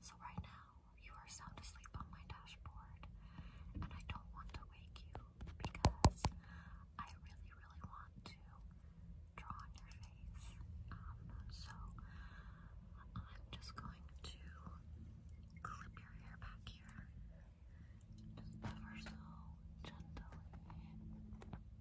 So, right now, you are sound asleep on my dashboard, and I don't want to wake you because I really, really want to draw on your face. Um, so, I'm just going to clip your hair back here, just ever so gently.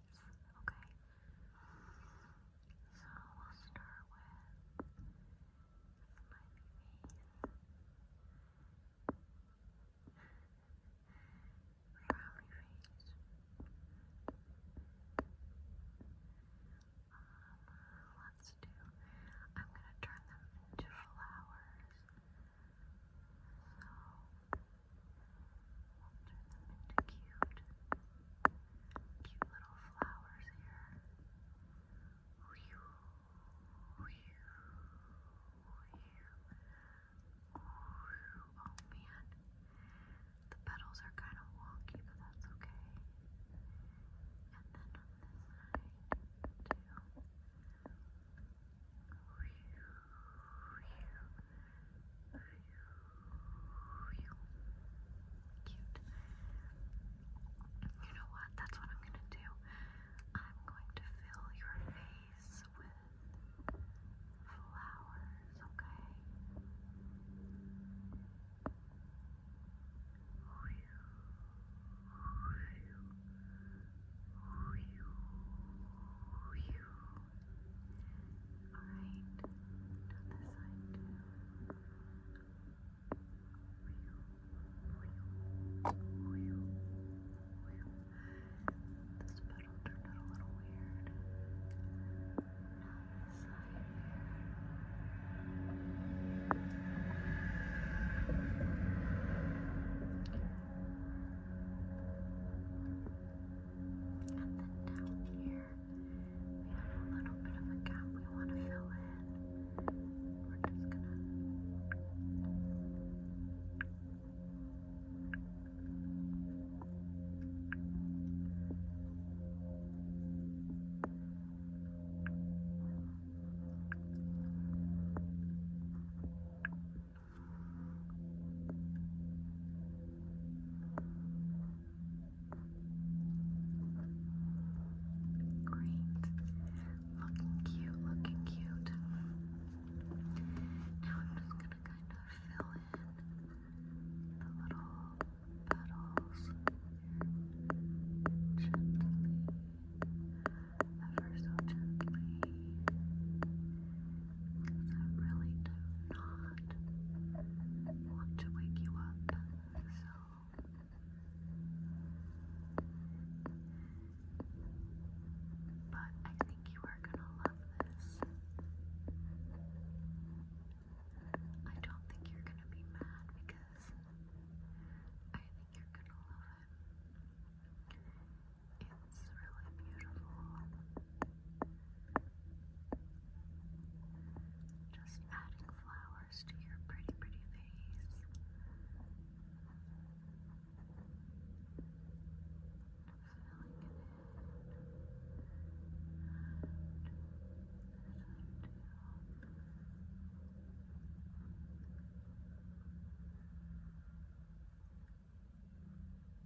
face, okay? So we'll start with my face. Frowny face. let's do, I'm gonna turn them into flowers. So, into cute, cute little flowers here. Whew, whew, whew. Oh man, the petals are kind of wonky, but that's okay. And then on this side, too. Cute. You know what? That's what I'm gonna do. I'm going to fill your face with flowers, okay? Alright, down this side too. This petal turned out a little weird. this side And then down here. We have a little bit of a gap we want to fill in. We're just gonna. We're Great. Looking cute, looking cute. Now I'm just going to kind of fill in the little petals gently, ever so gently because I really do not want to wake you up. So but I think you are gonna love this. I don't think you're gonna be mad because I think you're gonna love it. It's really beautiful. Just adding flowers to your pretty, pretty face. Filling it in. And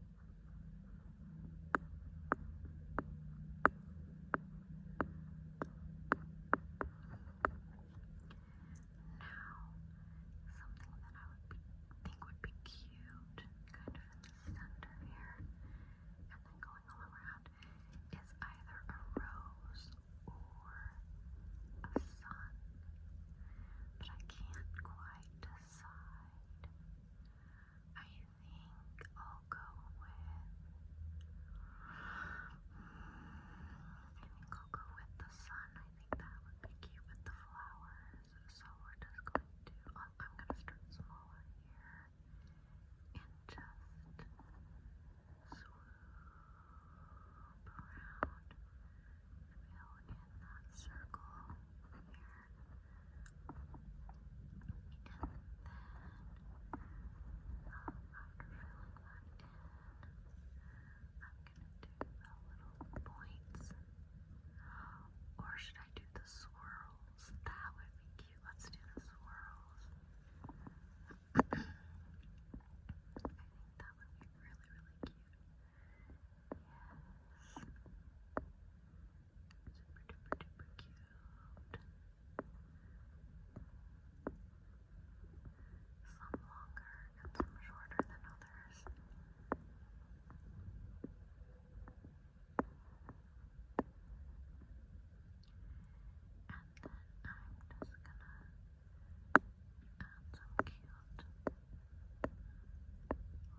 something that I would think would be cute, kind of in the center here, and then going all around, is either a rose or a sun, but I can't quite decide. I think I'll go with. I will go with the sun. I think that would be cute with the flowers. So we're just going to. I'm going to start smaller here and just swoop around. Fill in that circle here little points. Or should I do the swirls? That would be cute. Let's do the swirls. I think that would be really, really cute. Yes. Super duper duper cute. Some longer some shorter than others. And then I'm just gonna add some cute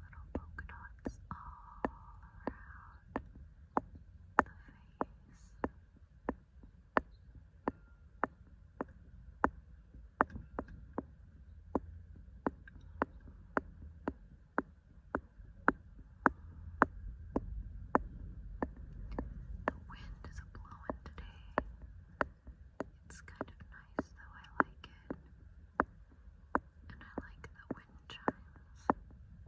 Little polka dots all around the face. The wind is blowing today. It's kind of nice though, I like it. And I like the I've noticed today it's a fairly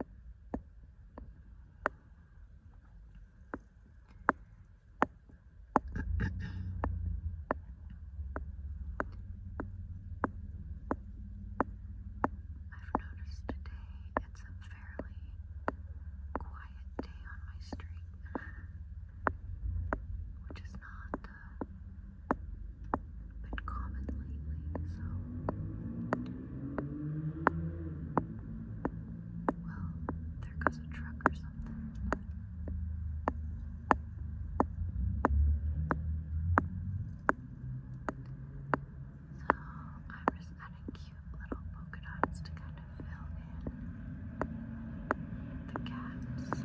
quiet day on my street, which is not been common lately, so well, there goes a truck or something. So I'm just adding cute little polka dots to kind of fill in the gaps.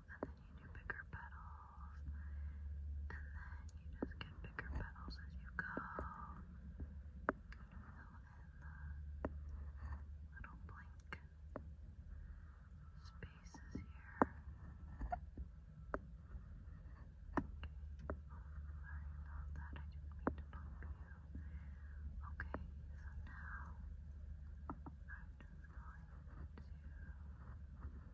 and then you do bigger petals, and then you just get bigger petals as you go. Kind in the little blank spaces here. Okay. Oh, sorry that. I didn't mean you. Okay, so now I'm just going to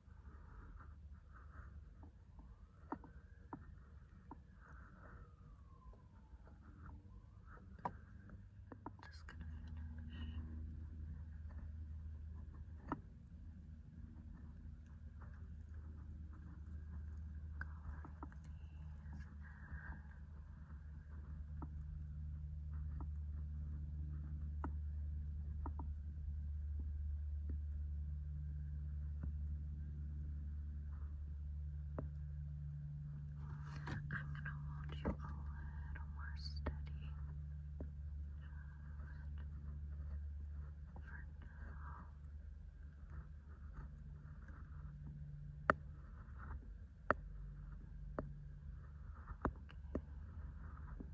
Just gonna finish. Coloring these in. I'm going to hold you a little more steady. Okay.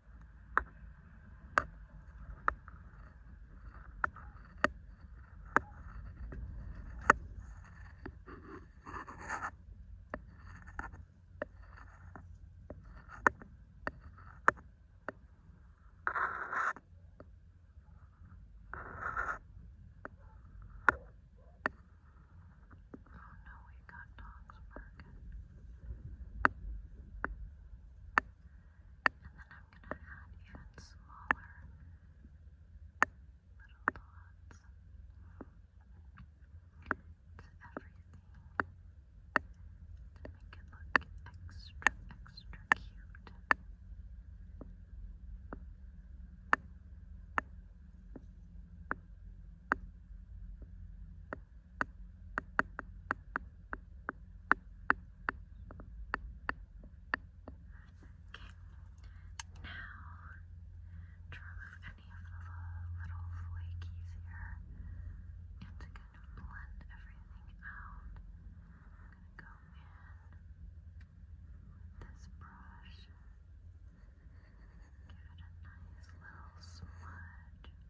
Oh no, we got dogs barking. And then I'm going to add even smaller little dots to everything to make it look extra, extra cute to remove any of the little flakies here and to kind of blend everything out, I'm going to go in with this brush, give it a nice little smudge.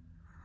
Gently, gently,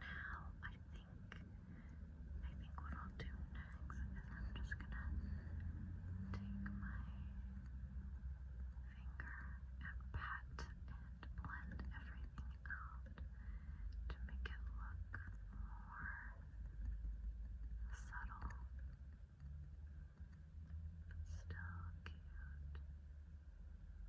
Now I think I think what I'll do next is I'm just gonna take my finger and pat and blend everything out to make it look more subtle. But still cute.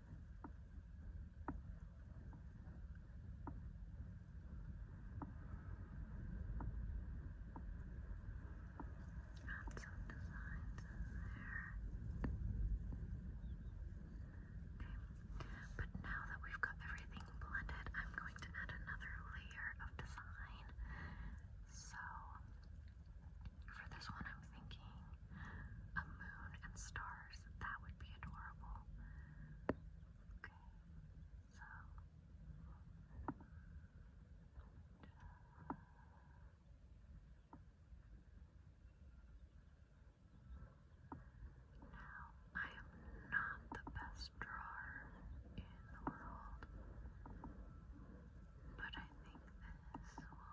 Got some designs in there. But now that we've got everything blended, I'm going to add another layer of design. So for this one, I'm thinking a moon and stars flowers. That would be adorable. Okay, so. Now, I am not the best drawer in the world, but I think this will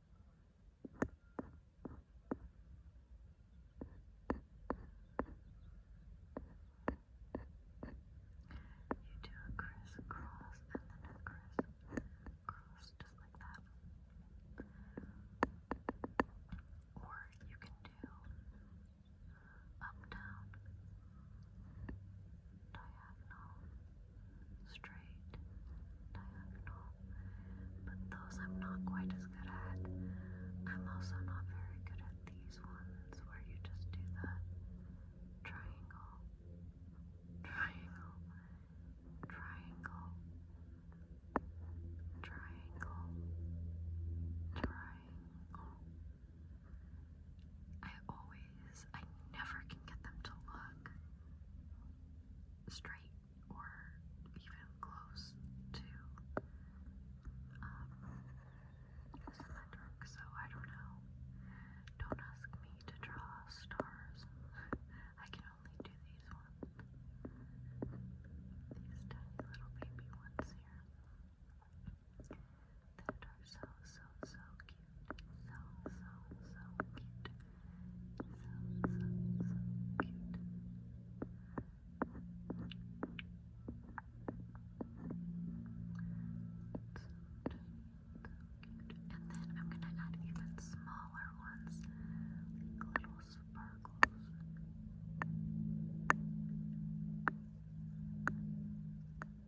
You do a crisscross and then a criss-cross just like that. Or you can do up, down, diagonal, straight, diagonal, but those I'm not quite as good at. I'm also not very good at these ones where you just do the triangle, triangle, triangle, triangle, triangle. I always I never can get them to look straight or even close to um, symmetric, so I don't know. Don't ask me to draw stars. I can only do these ones. These tiny little baby ones here. That are so, so, so cute then I'm gonna add even smaller ones, like little sparkles. Just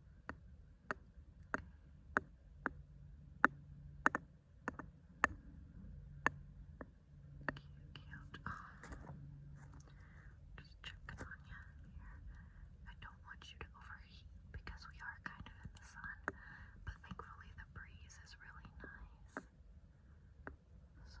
cute. just checking on you I don't want you to overheat because we are kind of in the sun, but thankfully the breeze is really nice. So,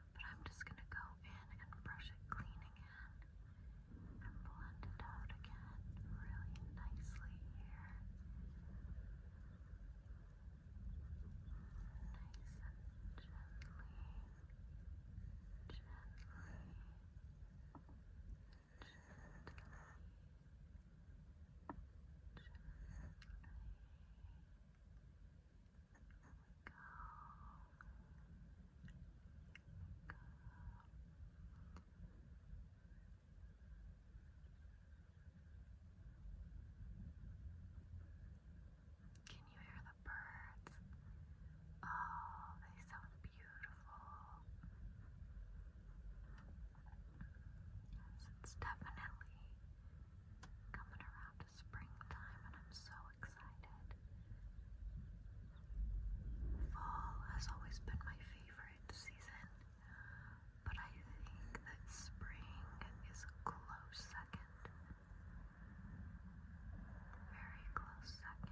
but I'm just going to go in and brush it clean again and blend it out again really nicely here. Nice gently. Gently, gently, gently. Can you hear the birds? Oh, they sound beautiful. it's definitely coming around springtime and I'm so excited. Fall has always been my favorite season, but I think that spring is a close second. Very close second.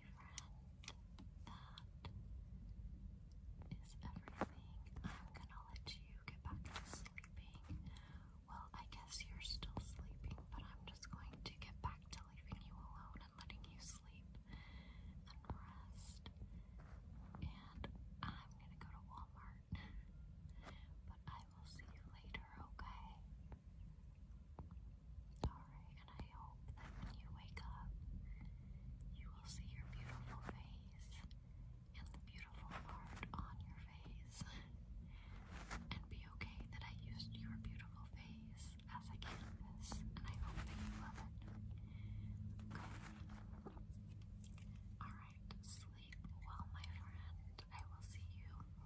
is everything. I'm gonna let you get back to sleeping. Well, I guess you're still sleeping, but I'm just going to get back to leaving you alone and letting you sleep and rest. And I'm gonna go to Walmart. but I will see you later, okay? All and I hope that when you wake up, you will see your beautiful face and the beautiful part on your face, and be okay that I used your beautiful face as a canvas, and I hope that you love it. Okay. Alright, sleep well, my friend. I will see you later.